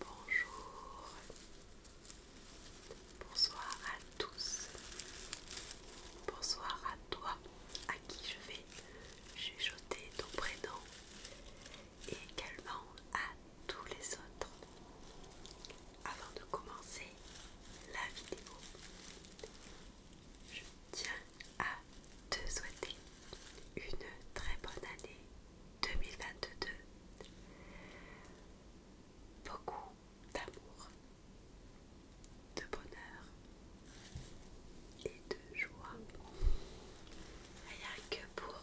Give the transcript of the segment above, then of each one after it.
Bonjour, bonsoir à tous, bonsoir à toi à qui je vais chuchoter ton prénom et également à tous les autres. Avant de commencer la vidéo, je tiens à te souhaiter une très bonne année 2022. Beaucoup d'amour, de bonheur et de joie. Rien que pour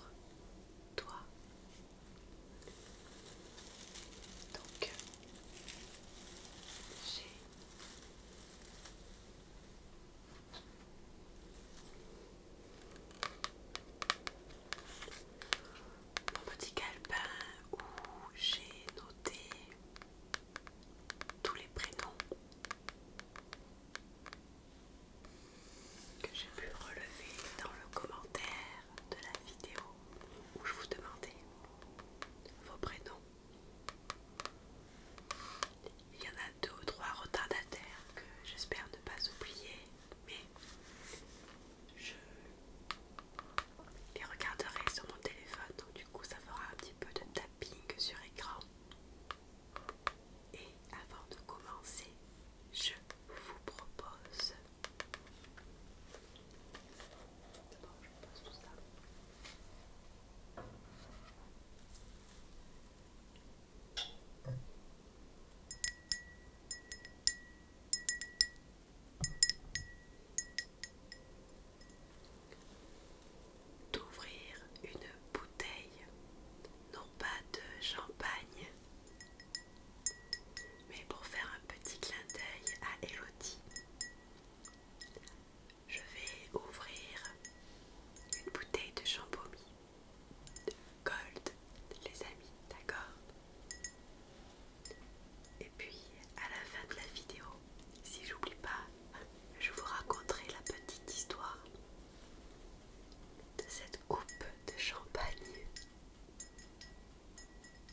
toi donc, mon petit calepin où j'ai noté tous les prénoms que j'ai pu relever dans le commentaire de la vidéo où je vous demandais vos prénoms. Il y en a deux ou trois retardataires que j'espère ne pas oublier, mais je les regarderai sur mon téléphone, donc du coup ça fera un petit peu de tapping sur écran. Et avant de commencer, je vous propose D'ouvrir une bouteille, non pas de champagne, mais pour faire un petit clin d'œil à Elodie, je vais ouvrir une bouteille de de gold, les amis, d'accord Et puis à la fin de la vidéo, si j'oublie pas, je vous raconterai la petite histoire de cette coupe de champagne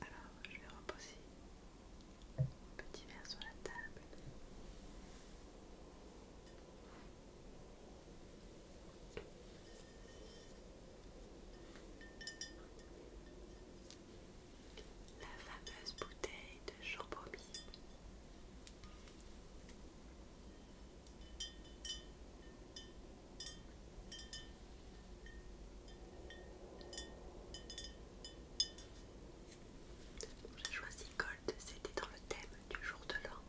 Alors, je vais reposer mon petit verre sur la table. La fameuse bouteille de champomis j'ai choisi Gold, c'était dans le thème du jour de l'an.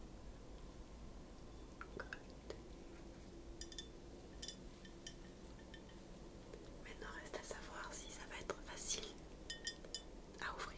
Maintenant reste à savoir si ça va être facile à ouvrir.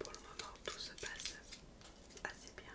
Pour le moment, tout se passe assez bien.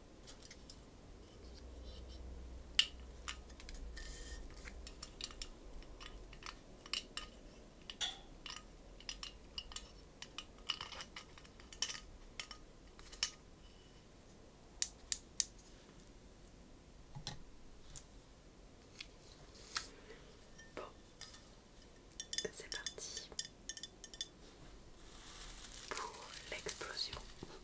Bon, c'est parti pour l'explosion.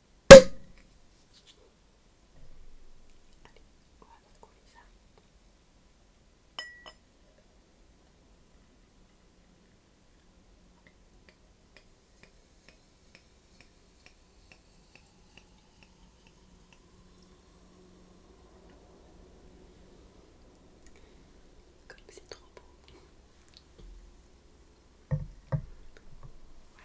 Allez, on Comme c'est trop beau. Voilà.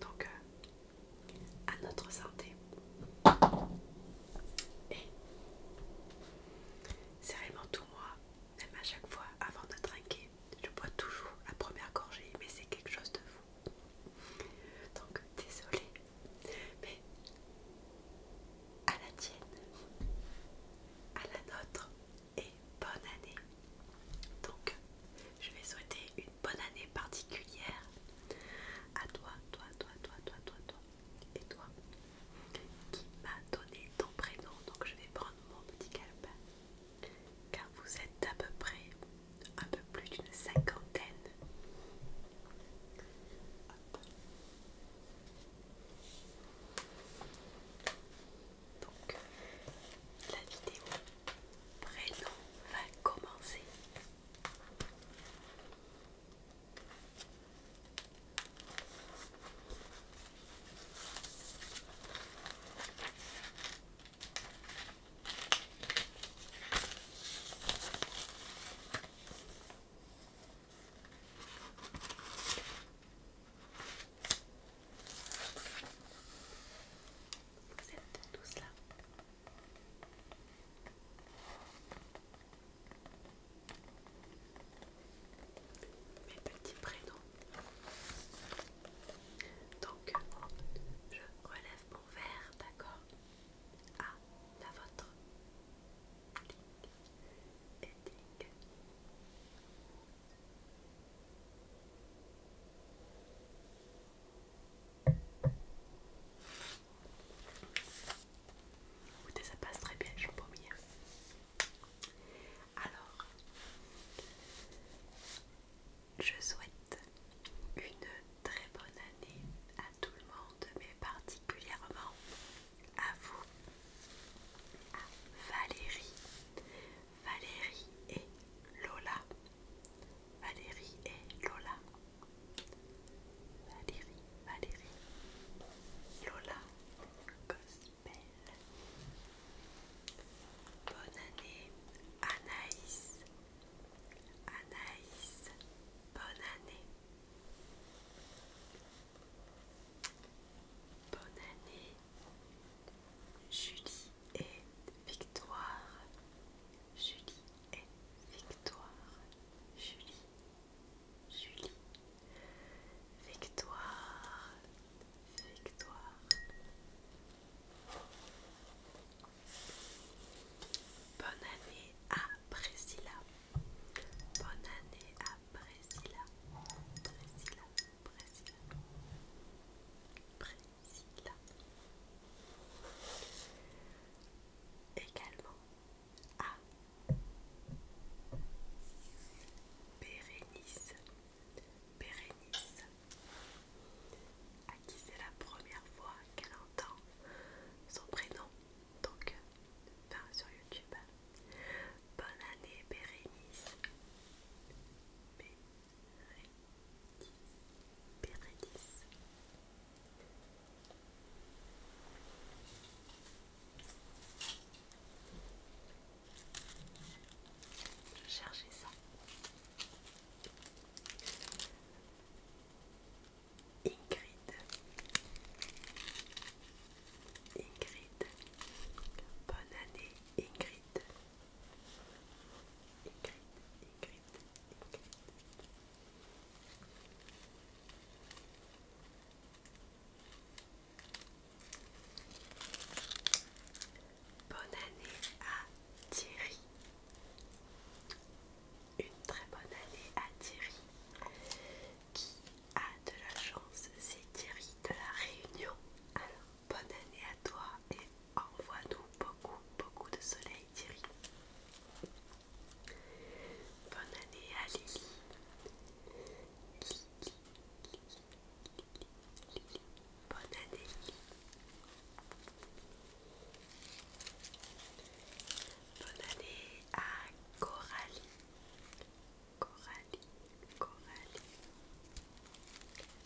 Donc, euh, à notre santé. Et c'est vraiment tout moi, même à chaque fois avant de trinquer, je bois toujours la première gorgée, mais c'est quelque chose de fou. Donc, désolée mais à la tienne, à la nôtre et bonne année. Donc, je vais souhaiter une bonne année particulière à toi, toi, toi, toi, toi, toi, toi et toi qui m'a donné ton prénom. Donc, je vais prendre mon petit calepin car vous êtes à peu près un peu plus d'une cinquantaine. Donc, la vidéo prénom va commencer. Vous êtes tous là. Mes petits prénoms. Donc, je relève mon verre, d'accord À ah, la vôtre ça passe très bien, je vous bien. Alors, je souhaite une très bonne année à tout le monde, mais parties particulièrement à vous, à Valérie, Valérie et Lola, Valérie et Lola, Valérie, Valérie, Lola, Gospel. Bonne année Anaïs, Anaïs, bonne année. Bonne année Julie et Victoire Julie et Victoire Julie Julie Victoire Victoire Bonne année à Priscilla Bonne année à Priscilla. Priscilla, Priscilla. Priscilla. Également à Bérénice. Pérénis, À qui c'est la première fois qu'elle entend son prénom. Donc Enfin, sur YouTube. Hein. Bonne année, Bérénice. Bérénice. Bérénice. Je cherchais ça. Ingrid Ingrid Bonne année Ingrid Ingrid Ingrid Ingrid Bonne année à Thierry. Une très bonne année à Thierry qui a de la chance, c'est Thierry de la Réunion. Alors, bonne année à toi et envoie-nous beaucoup, beaucoup de soleil, Thierry. Bonne année à Lily. Bonne année, Bonne année à Coralie. Coralie, Coralie,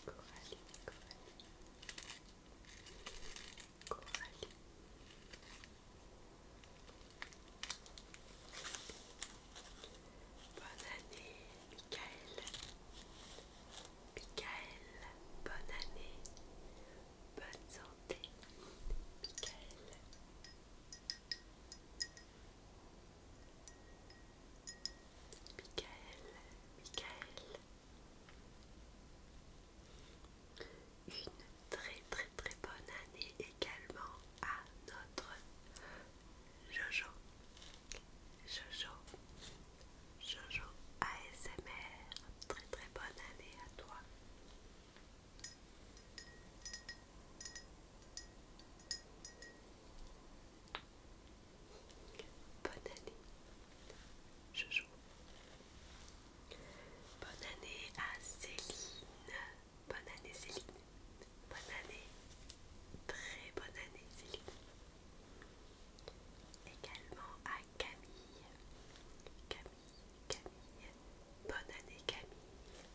Coralie, Coralie, Coralie. Bonne année, Mickaël. Mickaël, bonne année, bonne santé, Mickaël. Michael, Michael. Une très très très bonne année également à notre Jojo. Jojo. Jojo ASMR. Très très bonne année à toi. Bonne année, Jojo. Bonne année à Céline. Bonne année, Céline. Bonne année. Très bonne année, Céline. Également à Camille. Camille, Camille, Bonne année Camille.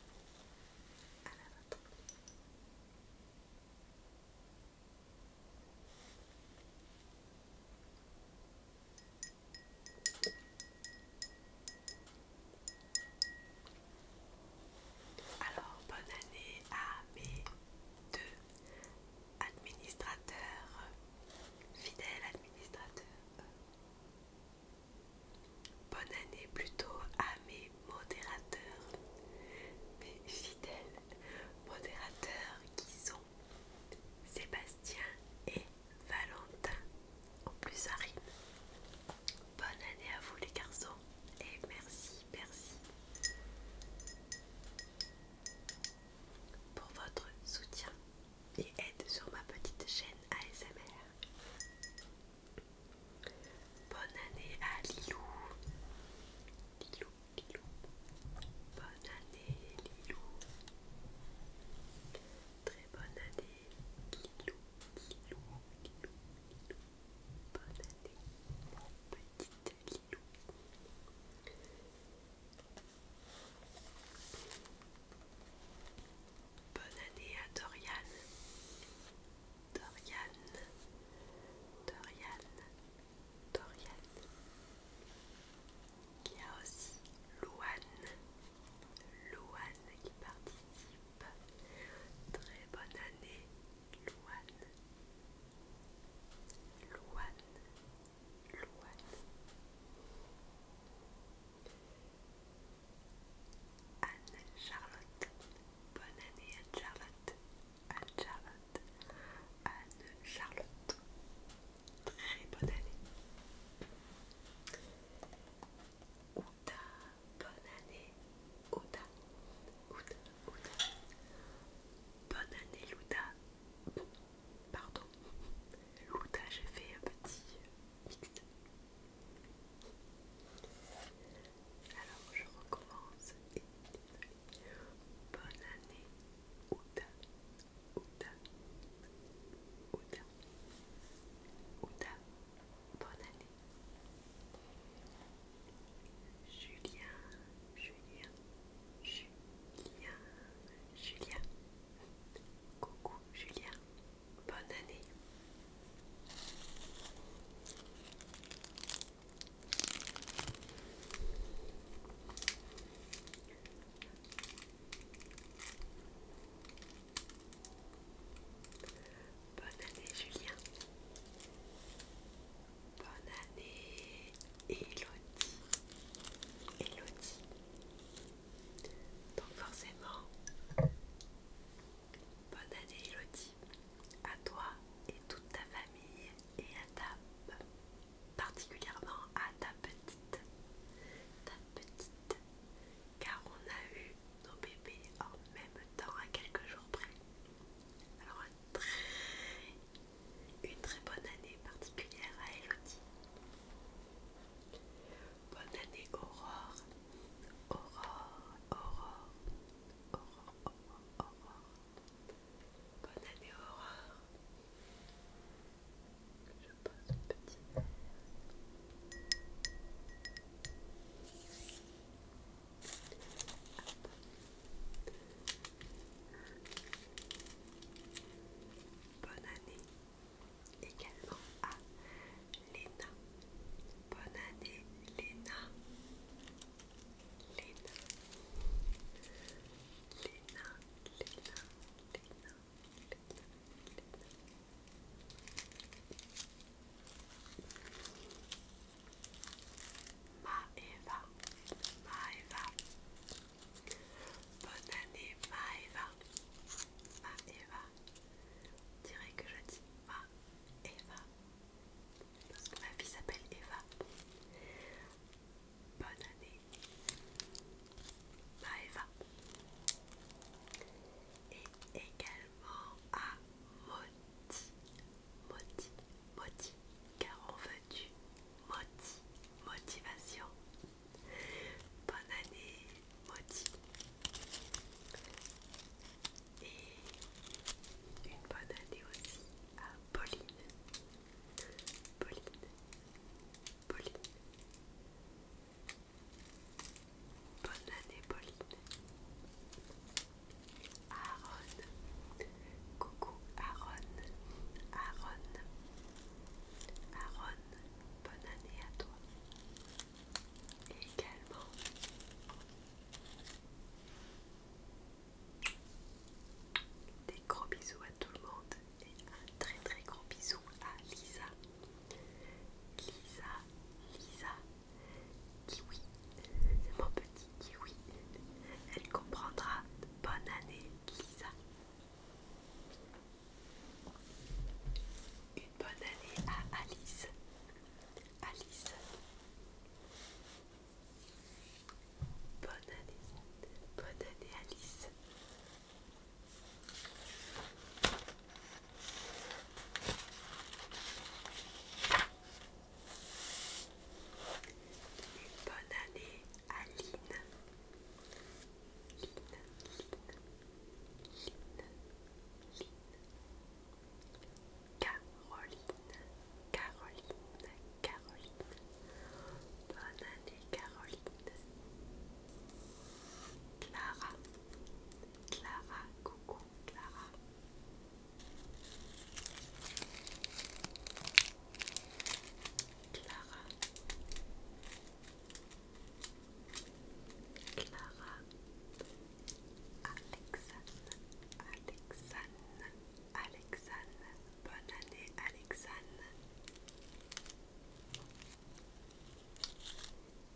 Alors, bonne année à mes deux administrateurs, fidèles administrateurs, euh, Bonne année plutôt à mes modérateurs, mes fidèles modérateurs qui sont Sébastien et Valentin. En plus Arine. Bonne année à vous les garçons et merci, merci pour votre soutien et aide sur ma petite chaîne ASMR. Bonne année à Lilou. Lilou, Lilou. Bonne année Lilou. Très bonne année Lilou, Lilou, Bonne année petite Lilou. Bonne année à Dorian. Dorian. Dorian. Dorian. Il y a aussi Louane. Louane qui participe. Très bonne année, Louane. Louane. Louane. Anne-Charlotte. Bonne année Anne-Charlotte. Anne-Charlotte. Anne-Charlotte. Très bonne année. Outa. Bonne année. Outa. Outa. Ouda. Bonne année Luda. pardon. Louta, j'ai fait un petit alors je recommence bonne année Ouda, Ouda, Ouda, Ouda, bonne année. Julien, Julien, Julien, Julien. Coucou Julien, bonne année. Bonne année Julien. Bonne année Elodie. Elodie. Donc forcément, bonne année Elodie, à toi et toute ta famille et à ta, particulièrement à ta petite, ta petite, car on a eu nos bébés en même temps à quelques jours près. Alors très, une très bonne année particulière à Elodie. Bonne année Aurore Aurore, Aurore, Aurore, Aurore, Aurore. Bonne année, Aurore. Je pose un petit verre. Bonne année, également à Léna. Bonne année Léna. Léna. Léna, Léna, Léna, Léna, Eva Ma Eva Bonne année Ma Eva dirais que je Ma, Eva, parce que ma fille s'appelle Eva. Bonne année ma Eva. Et également à Moti, Moti, Moti, car on veut du Moti, motivation. Bonne année maudit et une bonne année aussi à Pauline Pauline Pauline Bonne année Pauline Aaron Coucou Aaron Aaron Aaron Bonne année à toi et également des gros bisous à tout le monde et un très très gros bisou à Lisa. Lisa, Lisa, Kiwi, c'est mon petit Kiwi. Elle comprendra. Bonne année, Lisa. Une bonne année à Alice. Alice. Bonne année. Bonne année Alice. Une bonne année Aline, Caroline, Caroline, Caroline. Bonne année, Caroline. Clara, Clara, coucou, Clara. Clara, Clara, Alexane, Alexane, Alexane, bonne année Alexane.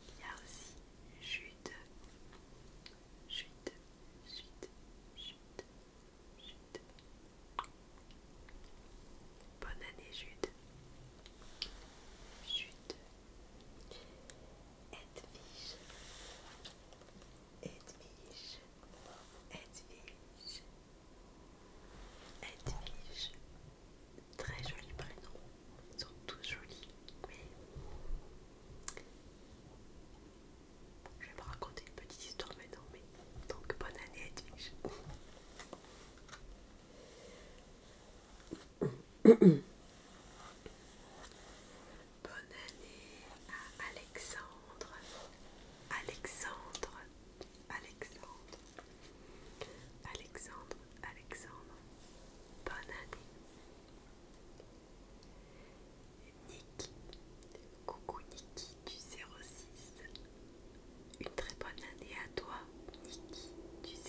Il y a aussi Jude, Jude, Jude, Jude, Jude. Bonne année Jude. Jude, Edwige, Edwige, Edwige, Edwige, très jolis prénom, ils sont tous jolis, mais je vais vous raconter une petite histoire maintenant, mais donc bonne année Edwige. Bonne année à Alexandre, Alexandre, Alexandre, Alexandre, Alexandre. Bonne année. Nick, coucou Niki du 06. Une très bonne année à toi, Niki du 06.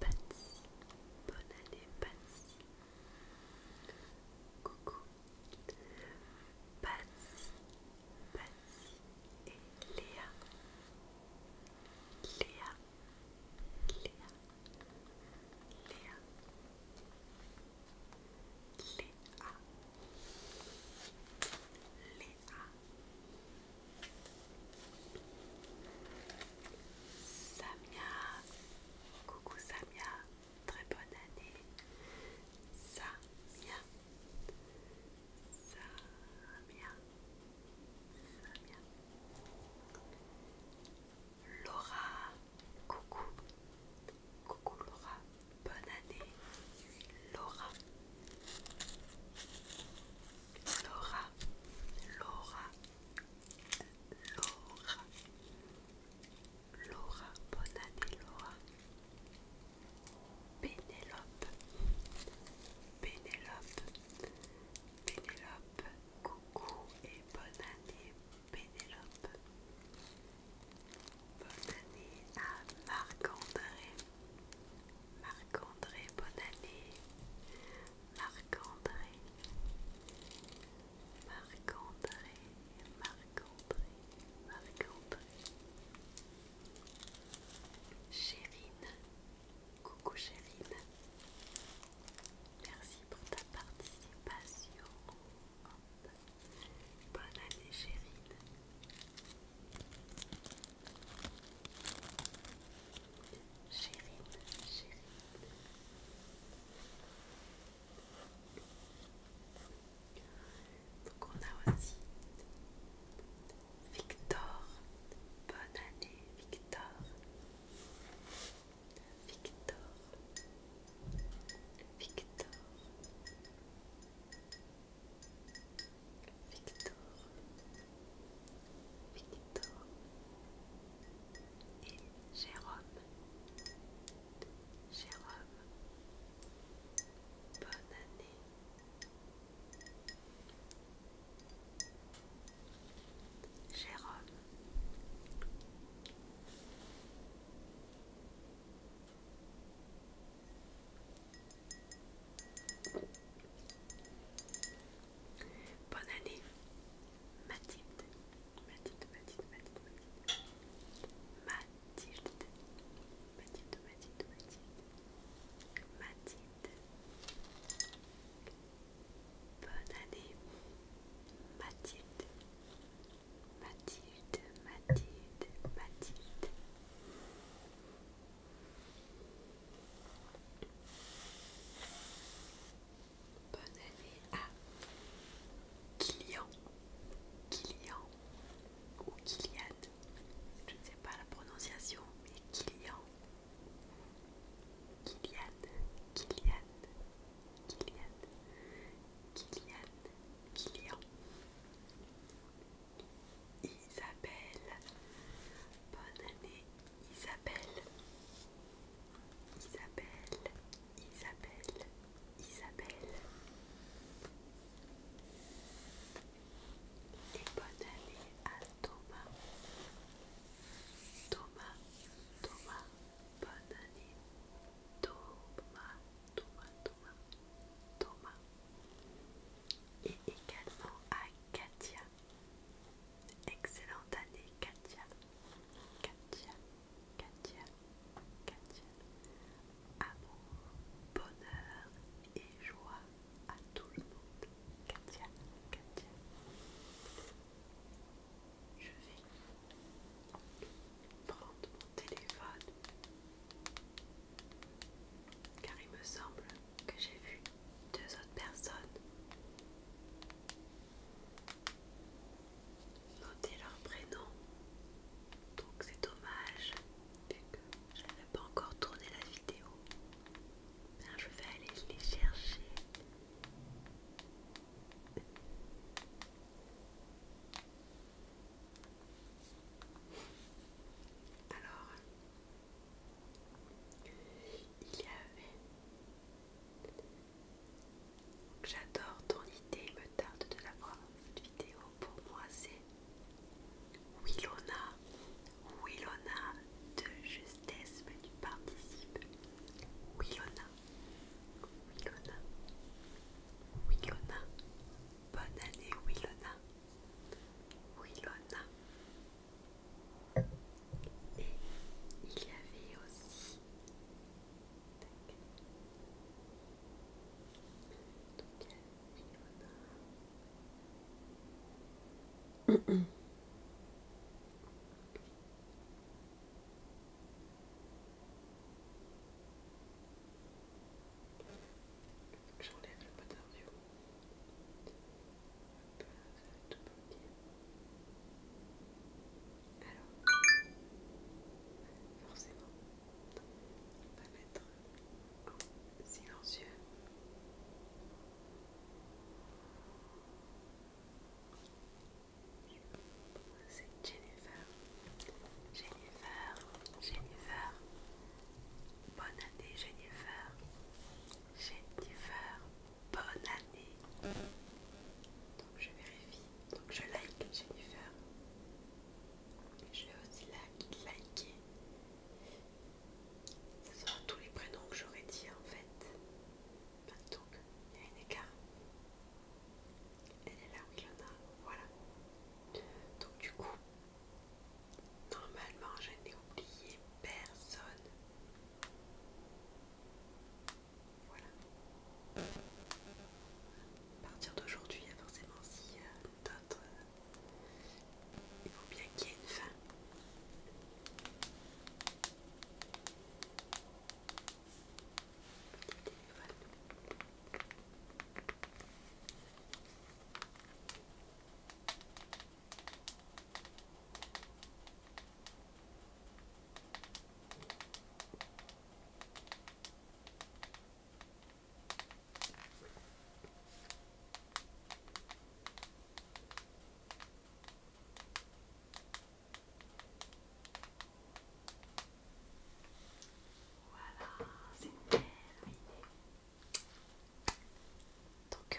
Patsy. Bonne année, Patsy. Coucou. Patsy, Patsy et Léa. Léa. Léa. Léa. Léa. Léa. Léa. Samia, coucou Samia, très bonne année. Samia, Samia, Samia. Laura, coucou, coucou Laura, bonne année. Laura, Laura, Laura. Laura. Laura, bonne année Laura. Pénélope. Pénélope. Pénélope. Coucou et bonne année Pénélope. Bonne année à Marc-André. Marc-André, bonne année. Marc-André, Marc-André, marc marc Chérine, coucou Chérine, merci pour ta participation. Bonne année Chérine. Chérine, Chérine. Donc on a aussi Victor. Bonne année Victor. Victor. Victor. Victor. Victor et Jérôme. Jérôme, bonne année. Jérôme. Bonne année, Mathilde. Mathilde, Mathilde, Mathilde, Mathilde. Mathilde. Mathilde, Mathilde, Mathilde. Mathilde. Bonne année, Mathilde. Mathilde, Mathilde, Mathilde. Bonne année à Kylian, Kylian ou Kylian, je ne sais pas la prononciation, mais Kylian, Kylian, Kylian, Kylian, Kylian, Kylian, Isabelle, bonne année Isabelle, Isabelle, Isabelle, Isabelle. Et bonne année à Thomas. Thomas, Thomas, bonne année. Thomas, Thomas, Thomas, Thomas. Et également à Katia. Excellente année, Katia. Katia, Katia, Katia. Amour, bonheur et joie à tout le monde. Katia, Katia. Je vais prendre mon téléphone car il me semble que j'ai vu deux autres personnes noter leur prénom. Donc c'est dommage vu que je n'avais pas encore tourné la vidéo. je vais aller les chercher. Alors, il y avait J'adore ton idée, me tarde de la voir cette vidéo. Pour moi, c'est Willona. Willona de justesse, mais tu participes. Willona. Willona. Willona. Bonne année, Willona. Willona. Et il y avait aussi... Donc, il y a J'enlève le pot d'ardio. Alors, forcément, on va être silencieux. C'est Jennifer. Jennifer, Jennifer. Bonne année Jennifer. Jennifer bonne année. Donc je vérifie. Donc je like Jennifer. Je vais aussi liker. Ce sont tous les prénoms que j'aurais dit en fait. Bah, donc il y a un écart. Elle est là, Willona. a Voilà. Donc du coup, normalement je n'ai oublié personne. Voilà. partir d'aujourd'hui, forcément, si euh, d'autres. Euh, il faut bien qu'il y ait une fin. Voilà, c'est une belle idée. Donc, euh,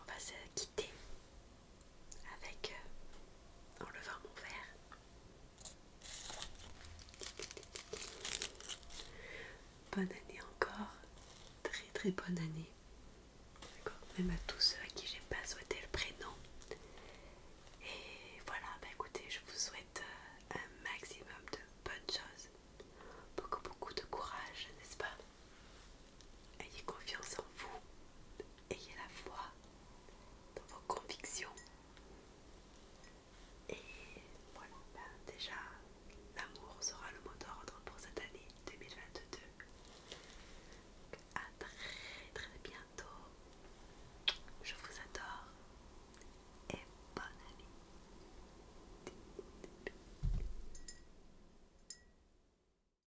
on va se quitter avec enlevant euh, en levant mon verre. Bonne année encore, très très bonne année. d'accord. Même à tous ceux à qui j'ai pas souhaité le prénom. Et voilà, bah écoutez, je vous souhaite euh, un maximum de bonnes choses. Beaucoup beaucoup de courage, n'est-ce pas Ayez confiance en vous, ayez la foi dans vos convictions. Et voilà, ben, déjà, l'amour sera le mot d'ordre pour cette année 2022. à très très bientôt. Je vous adore et bonne année.